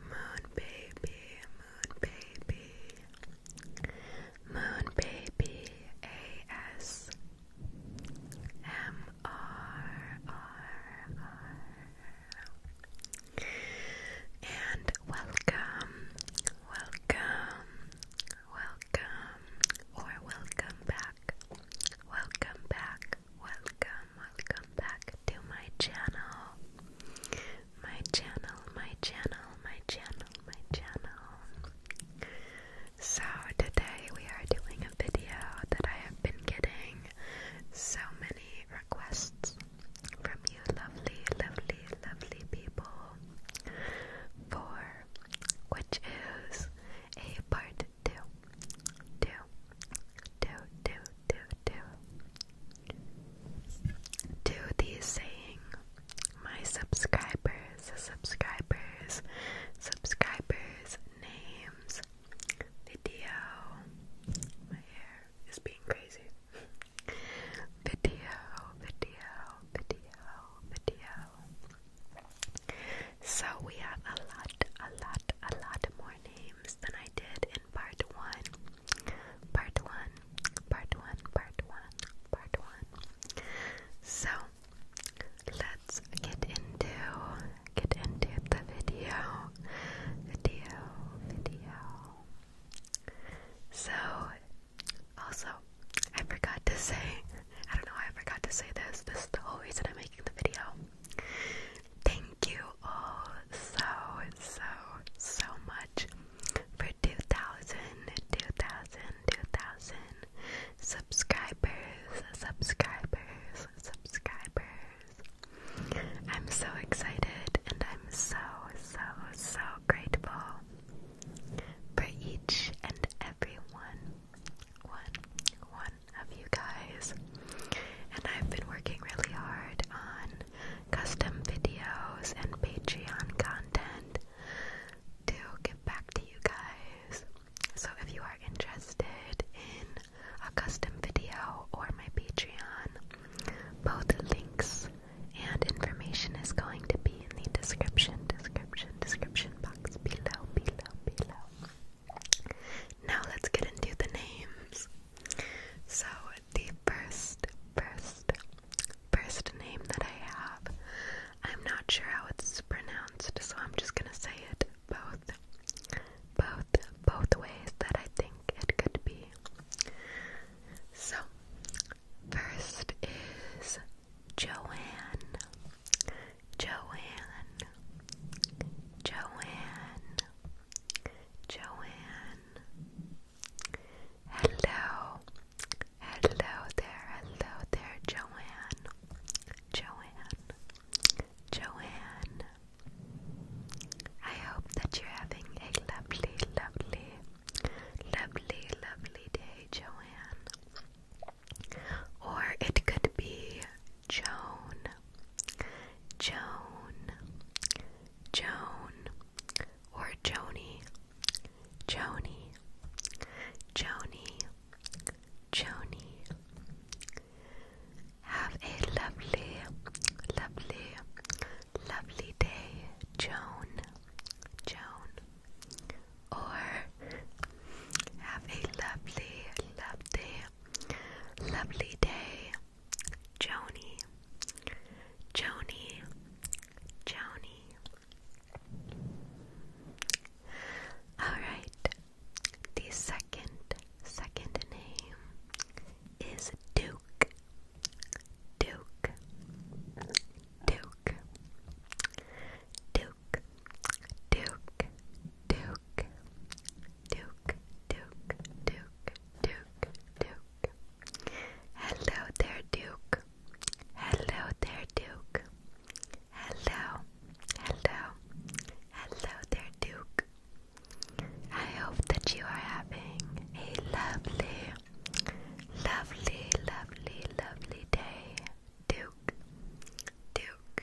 Moon baby, moon baby, moon baby, A S M R R R, and welcome, welcome, welcome, or welcome back, welcome back welcome, welcome back to my channel. My channel, my channel, my channel, So, today we are doing a video that I have been getting so many requests from you, lovely, lovely, lovely people, for which is a part two. Two do, do, do, do. Do these saying, my subscribers, subscribers, subscribers, names, video. My hair is being crazy. Video, video, video, video. So we have a lot, a lot, a lot more names than I did part one. Part one, part one, part one, part one. So let's get into get into the video. Video, video. So also I forgot to say I don't know why I forgot to say this. This is the whole reason I'm making the video. Thank you all so, so, so much for 2,000, 2,000, 2,000 subscribers, subscribers, subscribers. I'm so excited and I'm so, so, so grateful for each and every one. one, of you guys. And I've been working really hard on custom videos and Patreon content to get back to you guys. So if you are interested in a custom video or my Patreon, both links and information is going to be in the description, description, description box below, below, below. Now let's get into the names. So the first, first, first name that I have, I'm not sure how it's pronounced, so I'm just gonna say it both, both, both ways that I think it could be. So, first is Joanne. Joanne, Joanne, Joanne. Hello, hello there, hello there, Joanne, Joanne, Joanne. I hope that you're having a lovely, lovely, lovely, lovely day, Joanne. Or it could be Joan, Joan, Joan, or Joni, Joni, Joni, Joni. Have a lovely, lovely, lovely day, Joan, Joan. Or have a lovely, lovely, lovely day, Joni, Joni, Joni. Alright, the second, second name is Duke, Duke, Duke, Duke. Duke, Duke, Duke, Duke, Duke, Duke, Duke, Duke. Hello there, Duke. Hello there, Duke. Hello, hello, hello there, Duke. I hope that you are having a lovely, lovely, lovely, lovely day. Duke, Duke,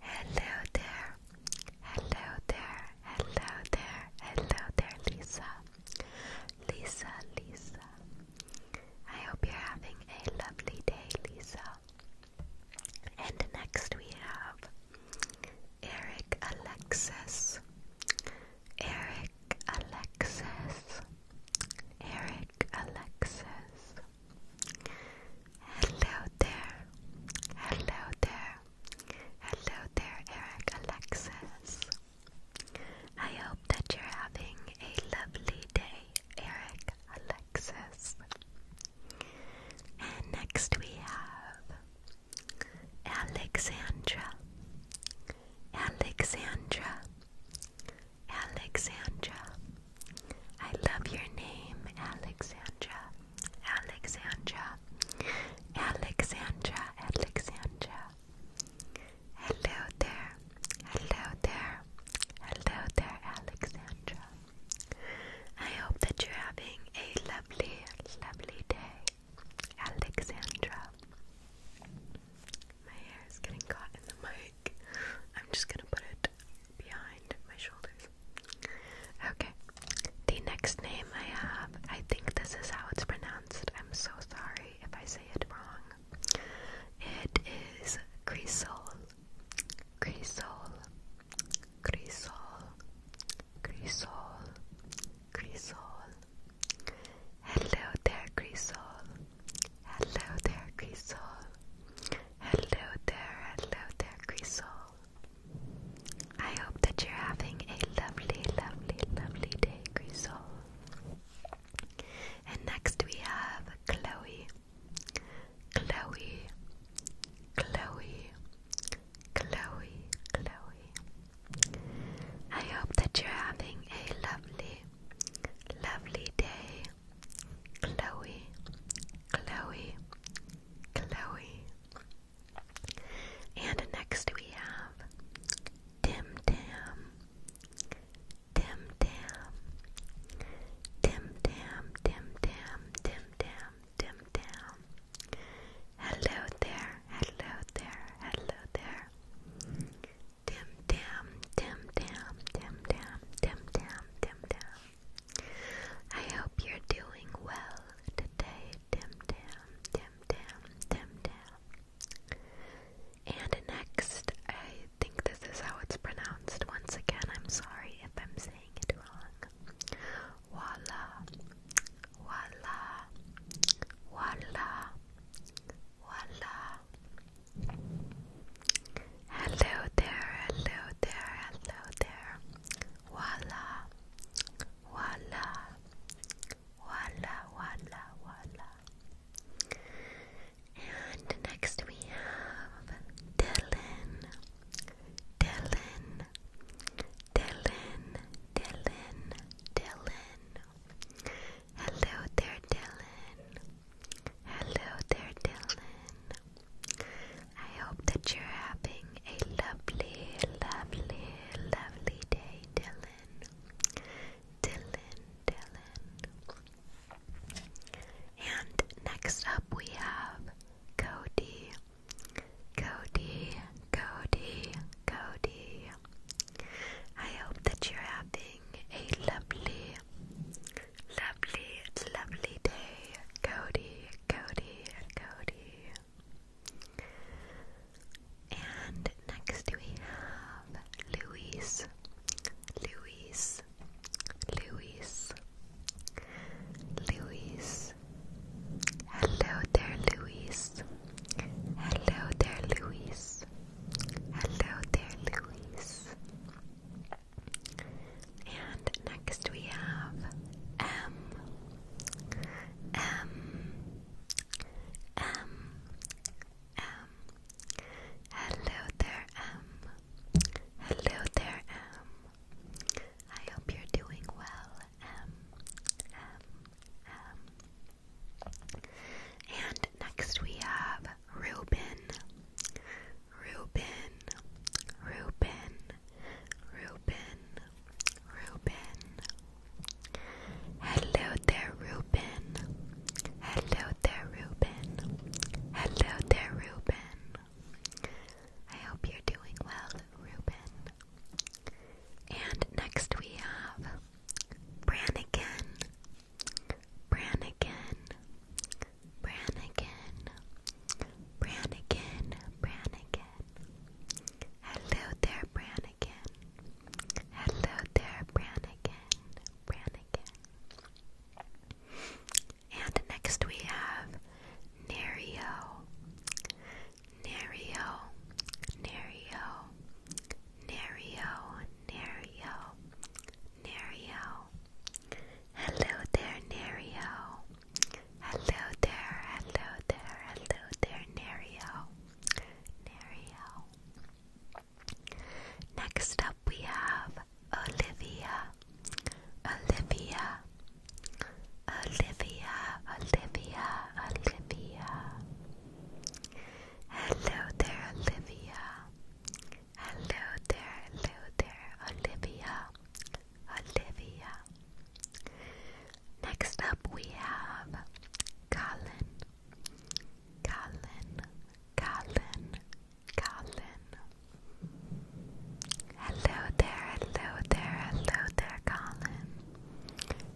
Hello there, hello there, hello there, hello there, Lisa. Lisa, Lisa. I hope you're having a lovely day, Lisa. And next we have Eric Alexis. Eric Alexis. Eric Alexis. Hello there. Hello there. Hello there, Eric Alexis. I hope that you're having a lovely day, Eric Alexis. And next we have Alexandra. Alexandra. Alexandra. I love your name, Alexandra. Alexandra. Alexandra. Alexandra. Hello there. Hello there. Hello there, Alexandra. I hope that you're having a lovely, lovely day, Alexandra. My hair is getting caught in the mic. I'm just gonna put it behind my shoulders. Okay. The next name I have, I think this is how it's pronounced. I'm so sorry if I say it wrong. It is Crisol. Crisol. Crisol. Crisol. Crisol. Hello there, Crisol. Hello there, Crisol. Hello there, hello there, Grisol. I hope that you're having a lovely, lovely, lovely day, Grisol. And next we have Chloe. Chloe, Chloe, Chloe, Chloe. I hope that you're having a lovely, lovely day. Chloe, Chloe, Chloe. And next we have Tim Tam, Tim Tam, Tim Tam, Tim Tam, Tim Tam, Tim Tam. Hello there, hello there, hello there. Tim Tam, Tim Tam, Tim Tam, Tim Tam, Tim Tam. I hope you're doing well today, Tim Tam, Tim Tam, Tim Tam. And next, I think this is how it's pronounced. Once again, I'm sorry if I'm saying it wrong. Voila, voila, voila, voila. Hello there, hello there, hello there. Voila, voila, voila, voila, voila. And next we have Dylan, Dylan, Dylan, Dylan, Dylan. Hello there, Dylan. Hello there, Dylan. I hope that you're having a lovely, lovely, lovely day, Dylan. Dylan, Dylan. And next up we have Cody. Cody, Cody, Cody. I hope that you're having a lovely, lovely, lovely day, Cody, Cody, Cody. And next we have Luis, Luis, Luis, Luis. Hello there, Luis. Hello there, Luis. Hello there, Luis. And next we have M. M. M. M. Hello there, M. Hello there, M. I hope you're doing well, M. M. M. And next we have Reuben, Reuben, Reuben, Reuben, Reuben. Hello there, Reuben. Hello there, Reuben. Hello there, Reuben. I hope you're doing well, Reuben. And next we have Brannigan, Brannigan, Brannigan, Brannigan, Brannigan. Hello there, Brannigan. Hello there, Brannigan, Brannigan. And next we have Nario, Nario, Nario. Nario, Nario, Nario. Hello there, Nario. Hello there, hello there, hello there, Nario. Nario. Next up we have Olivia. Olivia. Olivia, Olivia, Olivia. Hello there, Olivia. Hello there, hello there, Olivia. Olivia. Next up, we have Colin. Colin, Colin, Colin. Hello there, hello there, hello there, Colin.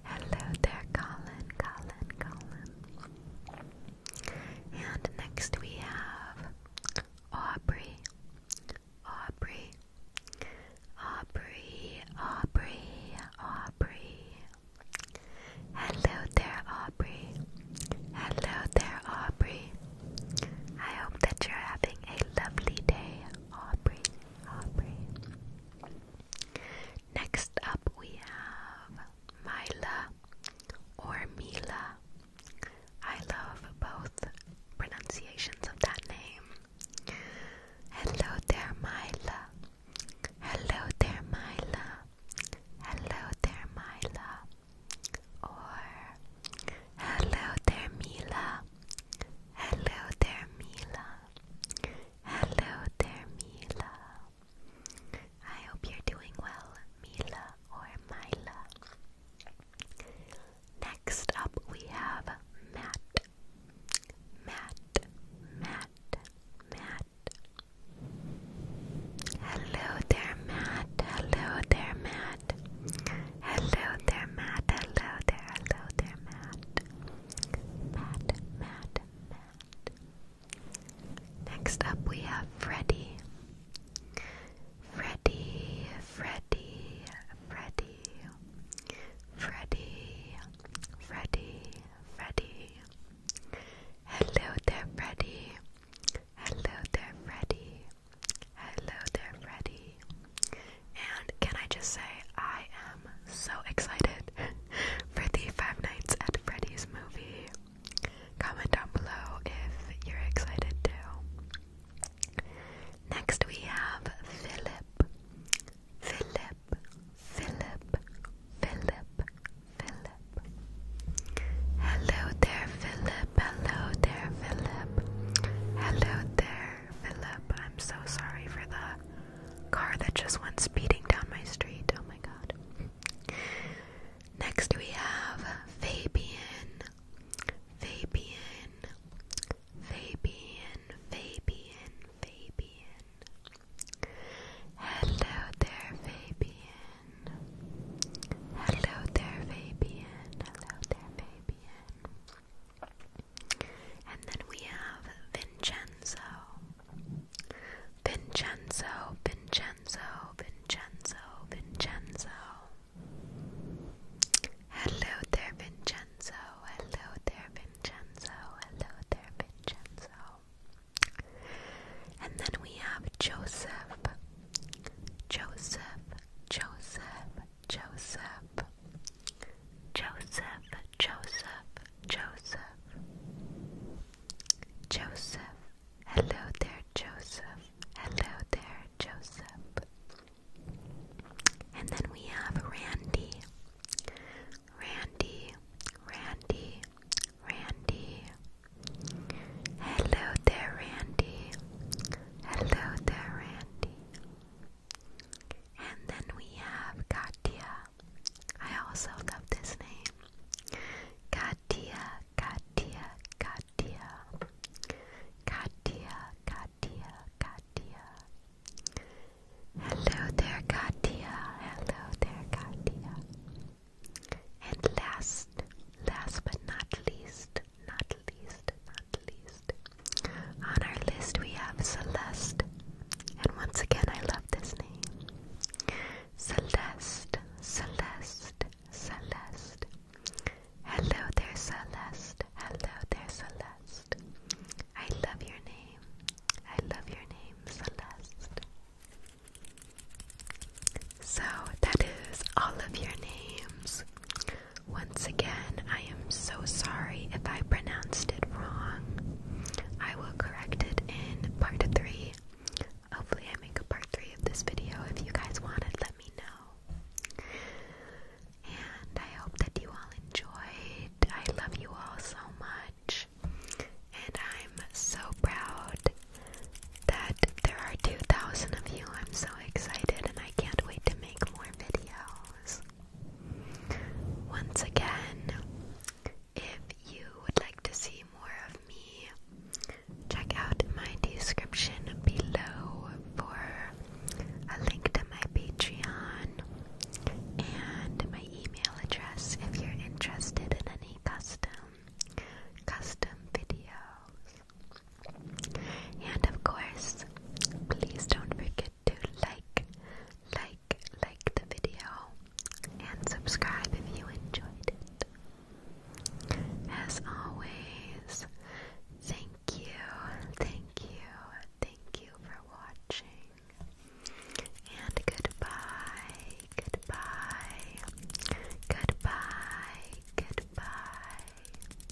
Hello there, Colin, Colin, Colin. And next we have Aubrey, Aubrey, Aubrey, Aubrey, Aubrey. Hello there, Aubrey. Hello there, Aubrey. I hope that you're having a lovely day, Aubrey, Aubrey. Next up, we have Mila, or Mila. I love both pronunciations of that name. Hello there, Mila. Hello there, Mila. Hello there, Mila. Or Hello there, Mila. Hello there, Mila. Hello there, Mila. I hope you're doing well, Mila or Mila. Next up, we have Matt. Matt, Matt, Matt. Hello there, Matt. Hello there, Matt. Hello there, Matt. Hello there, hello there, Matt, Matt, Matt. Next up, we have Freddy. Freddy, Freddy, Freddy, Freddy, Freddy, Freddy. Hello there, Freddy. Hello there, Freddy. Hello there, Freddy. And can I just say, I am am so excited for the Five Nights at Freddy's movie. Comment down below if you're excited too. Next we have Philip. Philip. Philip. Philip. Philip. Hello there, Philip. Hello there, Philip. Hello there, Philip. I'm so sorry for the car that just went speeding down my street. Oh my god. Next we have Fabian. Fabian. Fabian. Fabian. Fabian. Hello there, Fabian. Hello there, Fabian. Hello there, Fabian. And then we have Vincenzo. Vincenzo, Vincenzo, Vincenzo, Vincenzo. Hello there, Vincenzo. Hello there, Vincenzo. Hello there, Vincenzo. And then we have Joseph. Joseph, Joseph, Joseph. Joseph, Joseph, Joseph, Joseph. Hello there, Joseph. Hello there, Joseph. And then we have Randy. Randy, Randy, Randy. Hello there, Randy. Hello there, Randy. And then we have Katia. I also love this name. Katia, Katia, Katia. Katia, Katia, Katia. Hello there, Katia. Hello there, Katia. And last, last but not least, not least, not least, on our list, we have Celeste, and once again, I love this name. Celeste, Celeste, Celeste. Hello there, Celeste. Hello there, Celeste. I love your name. I love your name, Celeste. So, that is all of your names. Once again, I am so sorry if I pronounced it wrong. I will correct it in part 3. Hopefully, I make a part 3 of this video. If you guys want it, let me know. And I hope that you all enjoyed. I love you all so much. And I'm so proud that there are 2,000 of you. I'm so excited and I can't wait to make more videos. Once again, if you would like to see more of me, check out my description below for a link to my Patreon and my email address if you're interested in any custom custom videos. And of course, please don't forget to like, like, like the video, and subscribe if you enjoyed it. As always, thank you, thank you, thank you for watching. And goodbye, goodbye, goodbye, goodbye.